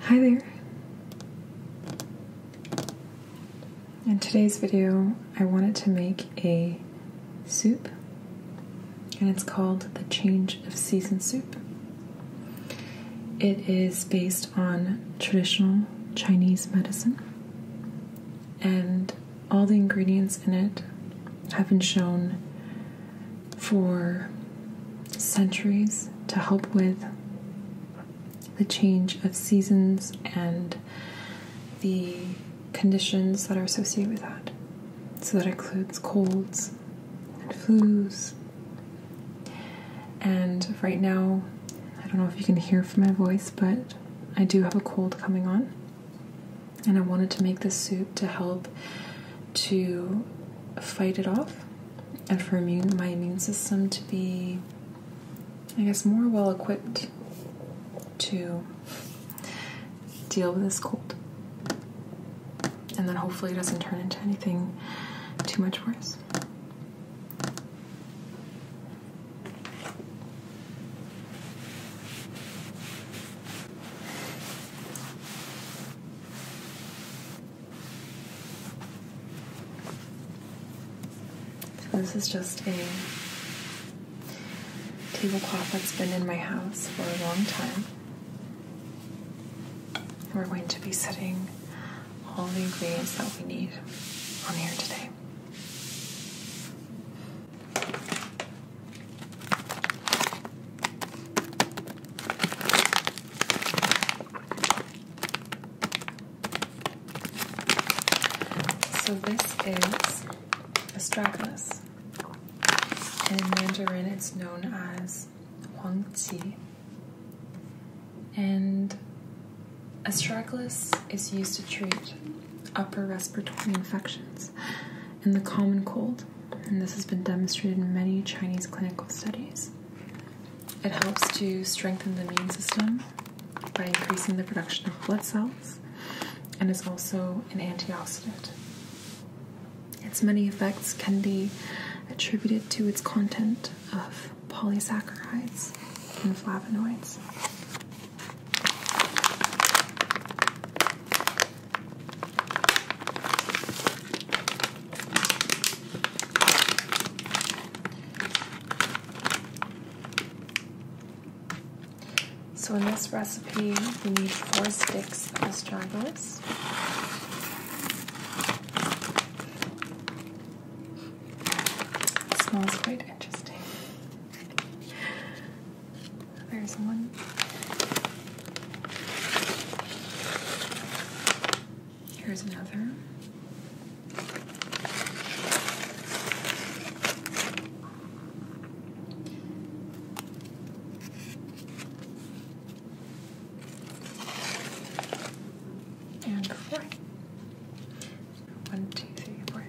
Hi there! In today's video, I wanted to make a soup, and it's called the Change of Season Soup. It is based on traditional Chinese medicine, and all the ingredients in it have been shown for centuries to help with the change of seasons and the conditions that are associated with that. So that includes colds and flus. And right now, I don't know if you can hear from my voice, but I do have a cold coming on. And I wanted to make this soup to help to fight it off and for my immune system to be, I guess, more well equipped to deal with this cold. And then hopefully it doesn't turn into anything too much worse. So this is just a tablecloth that's been in my house for a long time. we're going to be setting all the ingredients that we need on here today. So this is astragalus. In Mandarin, it's known as huangqi, and Astragalus is used to treat upper respiratory infections and the common cold, and this has been demonstrated in many Chinese clinical studies. It helps to strengthen the immune system by increasing the production of blood cells and is also an antioxidant. Its many effects can be attributed to its content of polysaccharides and flavonoids. So in this recipe, we need four sticks of astragalus. It smells quite interesting. There's one. Here's another. And four. One, two, three, four.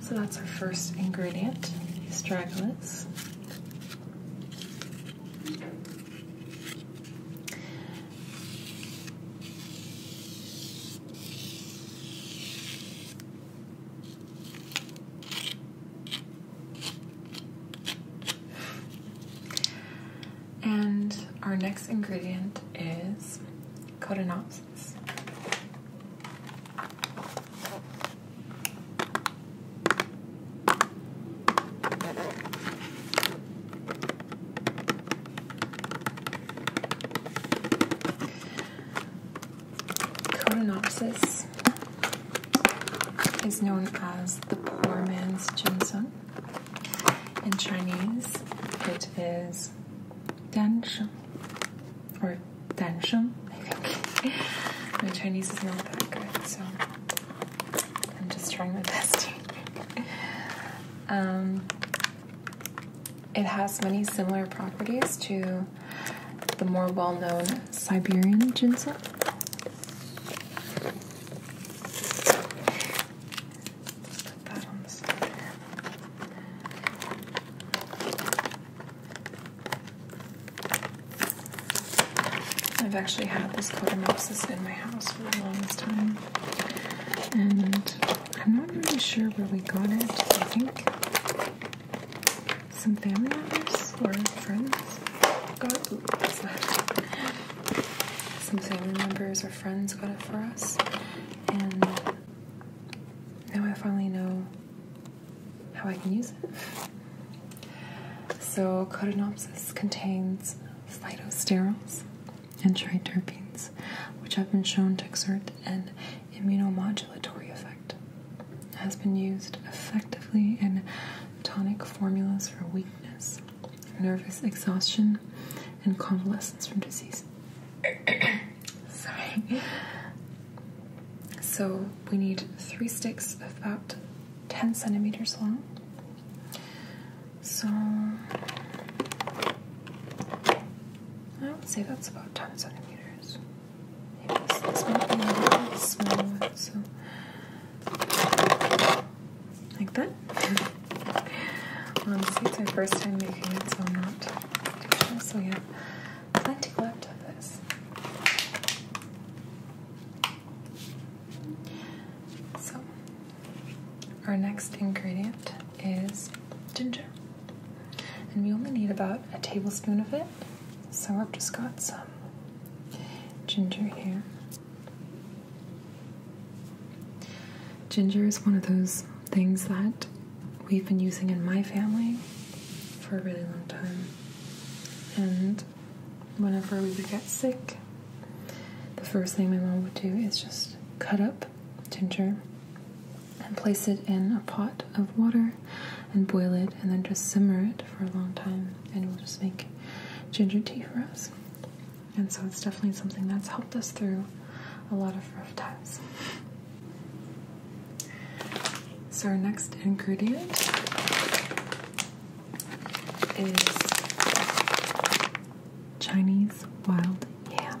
so that's our first ingredient, astragalus. And our next ingredient is Codinopsis. Codinopsis is known as the poor man's ginseng. In Chinese, it is dansheng or dansheng, I think. My Chinese is not that good, so I'm just trying my best. um, it has many similar properties to the more well known Siberian ginseng. I've actually had this Cotomopsis in my house for a long time, and I'm not really sure where we got it. I think some family members or friends got some family members or friends got it for us and now I finally know how I can use it. So Codinopsis contains phytosterols and triterpenes, which have been shown to exert an immunomodulatory effect has been used effectively in tonic formulas for weakness, nervous exhaustion, and convalescence from disease. Sorry. So we need three sticks of about 10 centimeters long. So I would say that's about 10 centimeters. This, this might be a really small so like that. Honestly, it's my first time making it, so I'm not too sure. So yeah, plenty left of this. So our next ingredient is ginger, and we only need about a tablespoon of it. So I've just got some ginger here. Ginger is one of those things that we've been using in my family for a really long time. And whenever we would get sick, the first thing my mom would do is just cut up ginger and place it in a pot of water and boil it and then just simmer it for a long time and we will just make ginger tea for us. And so it's definitely something that's helped us through a lot of rough times. So our next ingredient is Chinese wild yam.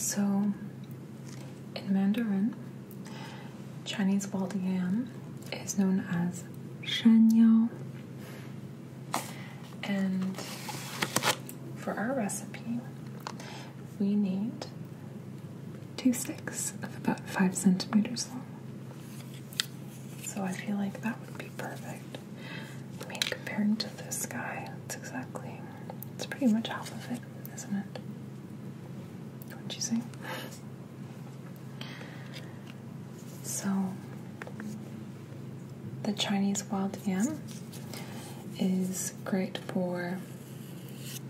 So, in Mandarin, Chinese bald yam is known as shan And for our recipe, we need two sticks of about five centimeters long. So I feel like that would be perfect. I mean, compared to this guy, it's exactly, it's pretty much half of it is not it isn't you say? So, the Chinese wild yam is great for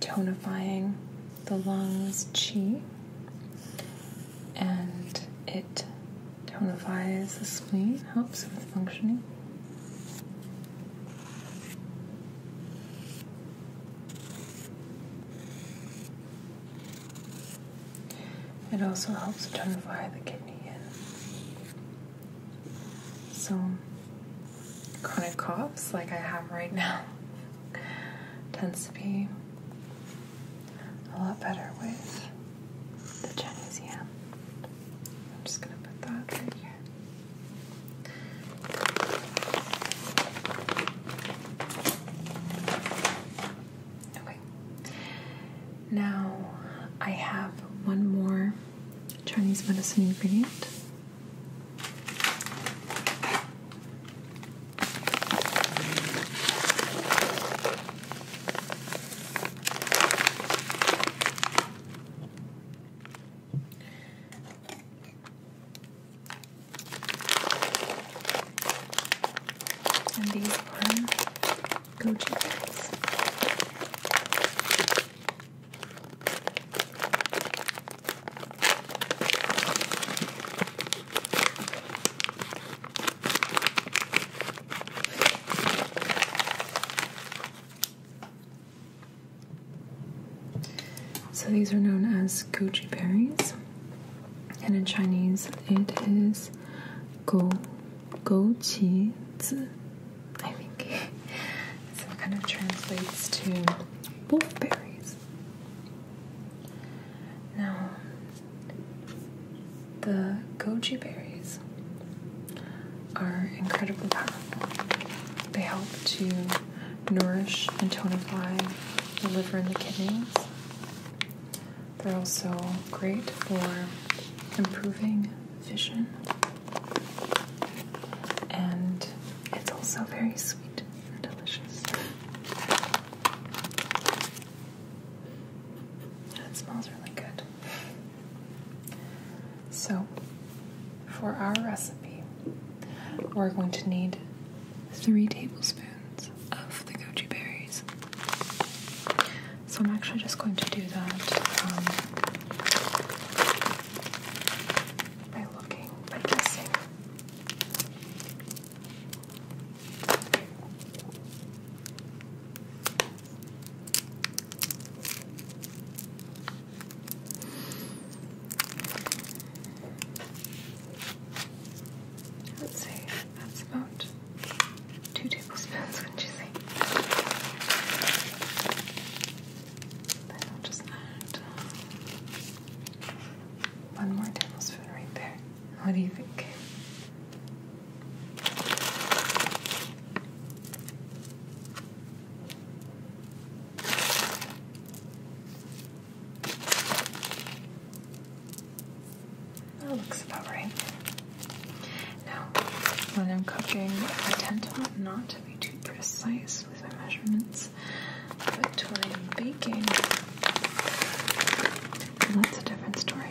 tonifying the lungs' qi, and it tonifies the spleen, helps with functioning. It also helps tonify the kidney in. So, chronic coughs like I have right now tends to be a lot better with the Chinese yam. I'm just gonna put that right here. Okay. Now I have one more Chinese medicine ingredient. And these go to this. So these are known as goji berries, and in Chinese it is go go zi. I think so. It kind of translates to wolf berries. Now, the goji berries are incredibly powerful. They help to nourish and tonify the liver and the kidneys. They're also great for improving vision. And it's also very sweet and delicious. That smells really good. So, for our recipe, we're going to need three tablespoons of the goji berries. So, I'm actually just going to do that um, by looking, by guessing. Let's see. that's about two tablespoons, wouldn't you say? Then I'll just add uh, one more tablespoon right there. What do you think? That looks about right. Now, when I'm cooking, I tend to not to be too precise with my measurements, but when I'm baking, that's a different story.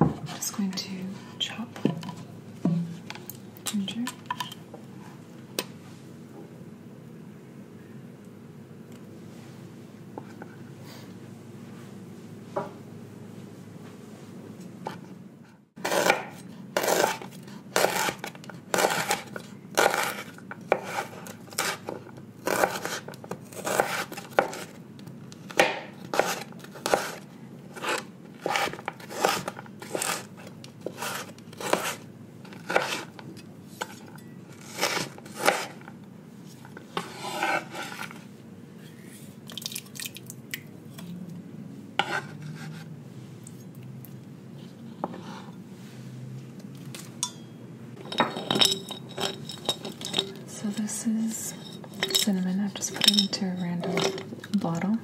I'm just going to chop ginger. So this is cinnamon. I've just put it into a random bottle.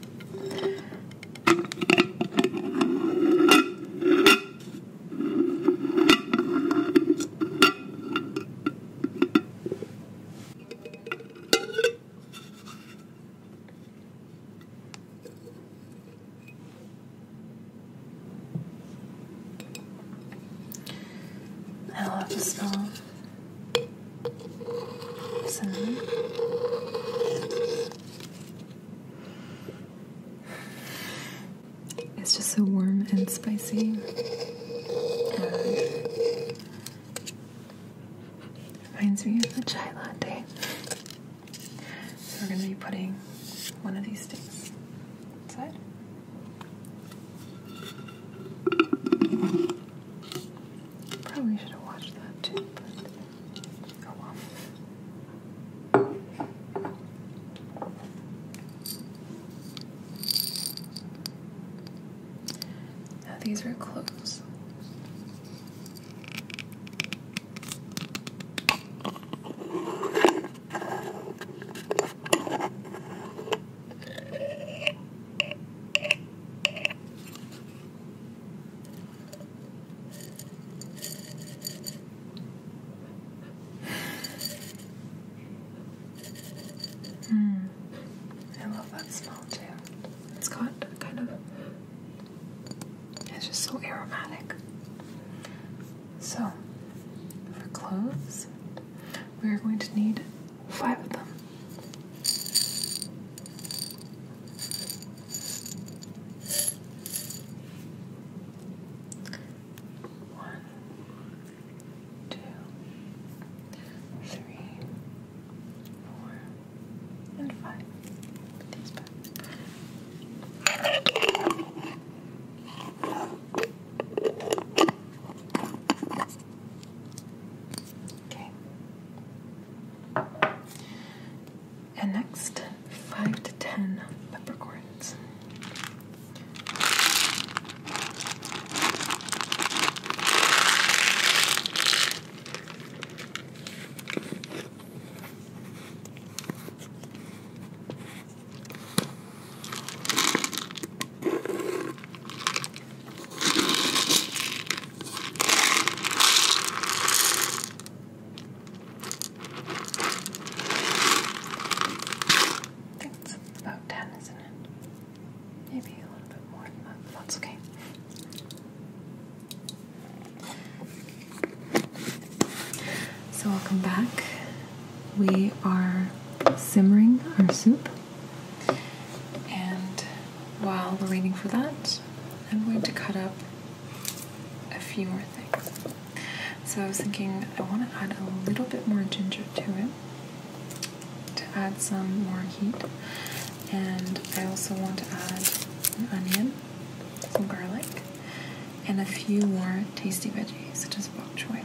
I love the smell. Cinnamon. It's just so warm and spicy. And uh, reminds me of the chai latte. So we're going to be putting one of these sticks inside. Probably should have watched that too, but oh well. Now these are clothes. Mm. I love that smell too. It's got kind of it's just so aromatic. So for clothes, we are going to need five of them. One, two, three, four, and five. Put these back. Okay. And next, five to ten leprechauns. I think that's about 10, isn't it? Maybe a little bit more but that's okay. So I'll come back we are simmering our soup. And while we're waiting for that, I'm going to cut up a few more things. So I was thinking I want to add a little bit more ginger to it to add some more heat. And I also want to add an onion, some garlic, and a few more tasty veggies such as bok choy.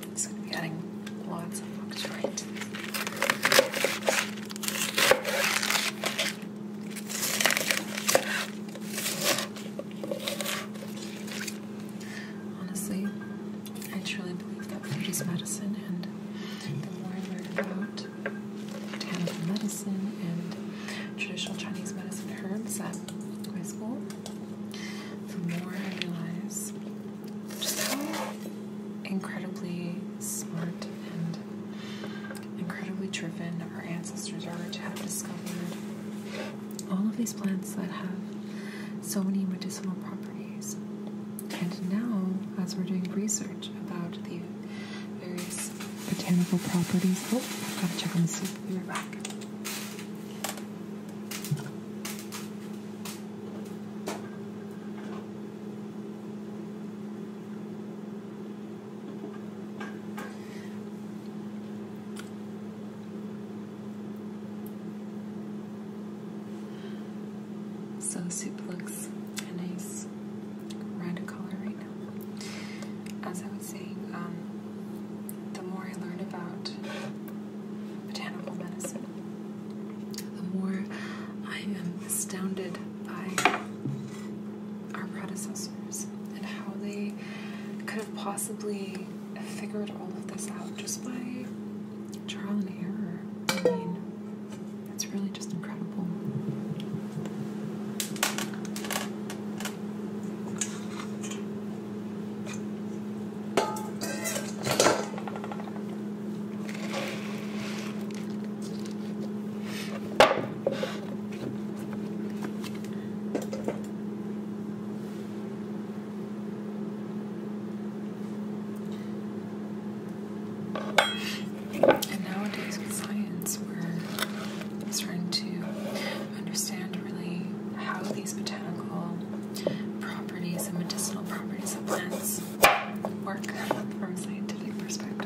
So I'm adding lots of books right. Honestly, I truly believe that food is medicine, and the more I learn about traditional medicine and traditional Chinese medicine herbs at high school, the more I realize just how incredibly smart and incredibly driven our ancestors are to have discovered all of these plants that have so many medicinal properties. And now, as we're doing research about the various botanical properties, oh, I've got to check on the soup. Be right back. So soup looks a nice red color right now. As I was saying, um, the more I learn about botanical medicine, the more I am astounded by our predecessors and how they could have possibly figured all of this out just by trial and error. I mean, it's really just incredible. And nowadays with science, we're starting to understand really how these botanical properties properties and medicinal properties of plants work from a scientific perspective.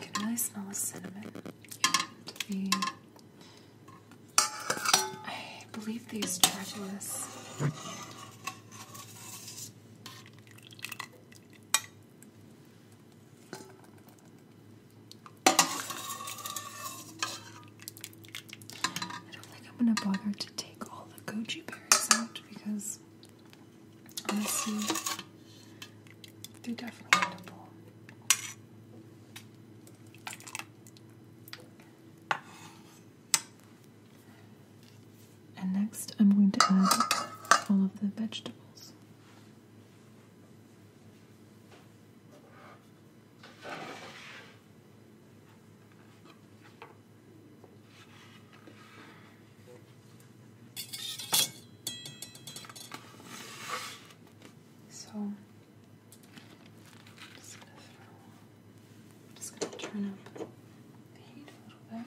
Get a nice smell the cinnamon. The, I believe these tarantulas. I don't think I'm going to bother to take all the goji berries out because honestly, they're definitely edible. And next, I'm going to add all of the vegetables. So just gonna throw, just gonna turn up the heat a little bit.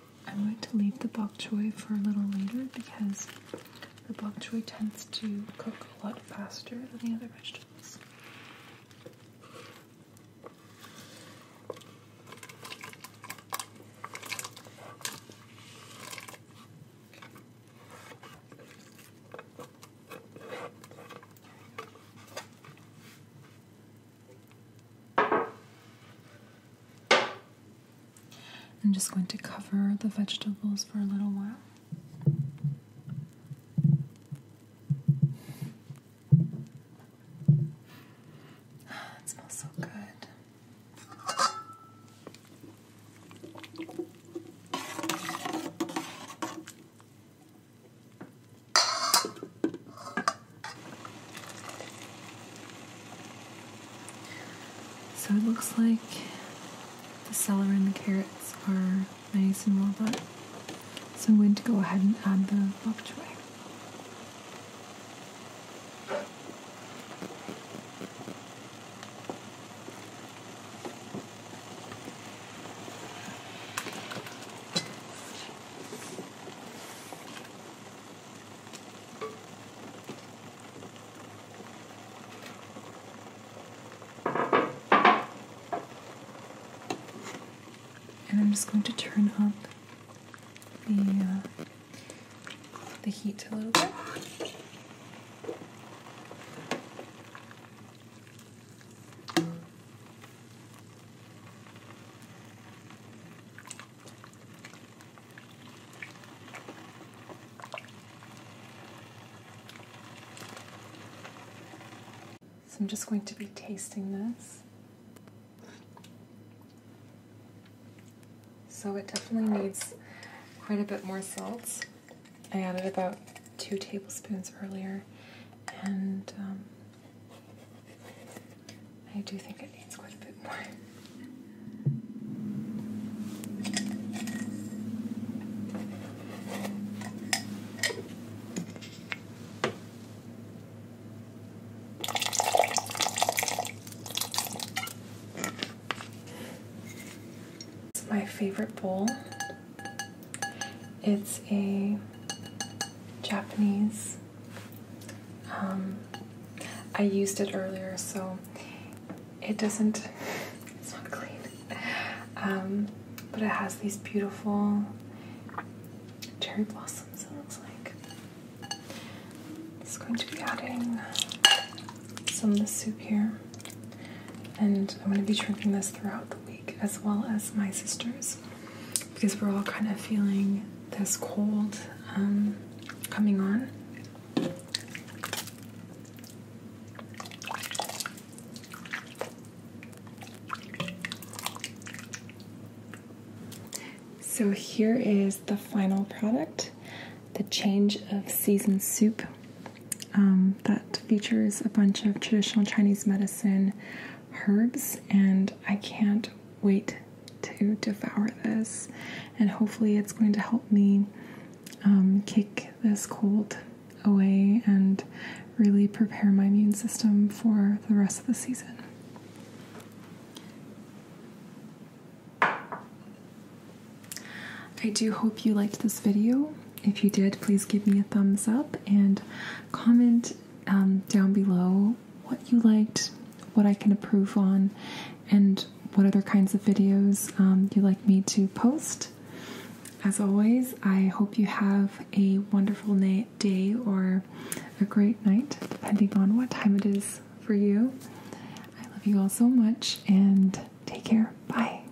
I'm going to leave the bok choy for a little later because the bok choy tends to cook a lot faster than the other vegetables. I'm just going to cover the vegetables for a little while. It smells so good. So it looks like the celery and the carrots are nice and well done. So I'm going to go ahead and add the bok choy. And I'm just going to turn up the uh, the heat a little bit. So I'm just going to be tasting this. So it definitely needs quite a bit more salt. I added about two tablespoons earlier, and um, I do think it needs quite a bit more. It's my favorite bowl. It's a Japanese. Um, I used it earlier, so it doesn't. It's not clean, um, but it has these beautiful cherry blossoms. It looks like it's going to be adding some of the soup here, and I'm going to be drinking this throughout the week as well as my sisters, because we're all kind of feeling this cold um, coming on. So here is the final product, the change of season soup um, that features a bunch of traditional Chinese medicine, herbs, and I can't wait to devour this. And hopefully, it's going to help me um, kick this cold away and really prepare my immune system for the rest of the season. I do hope you liked this video. If you did, please give me a thumbs up and comment um, down below what you liked, what I can improve on, and what other kinds of videos um, you'd like me to post. As always, I hope you have a wonderful day or a great night, depending on what time it is for you. I love you all so much and take care. Bye.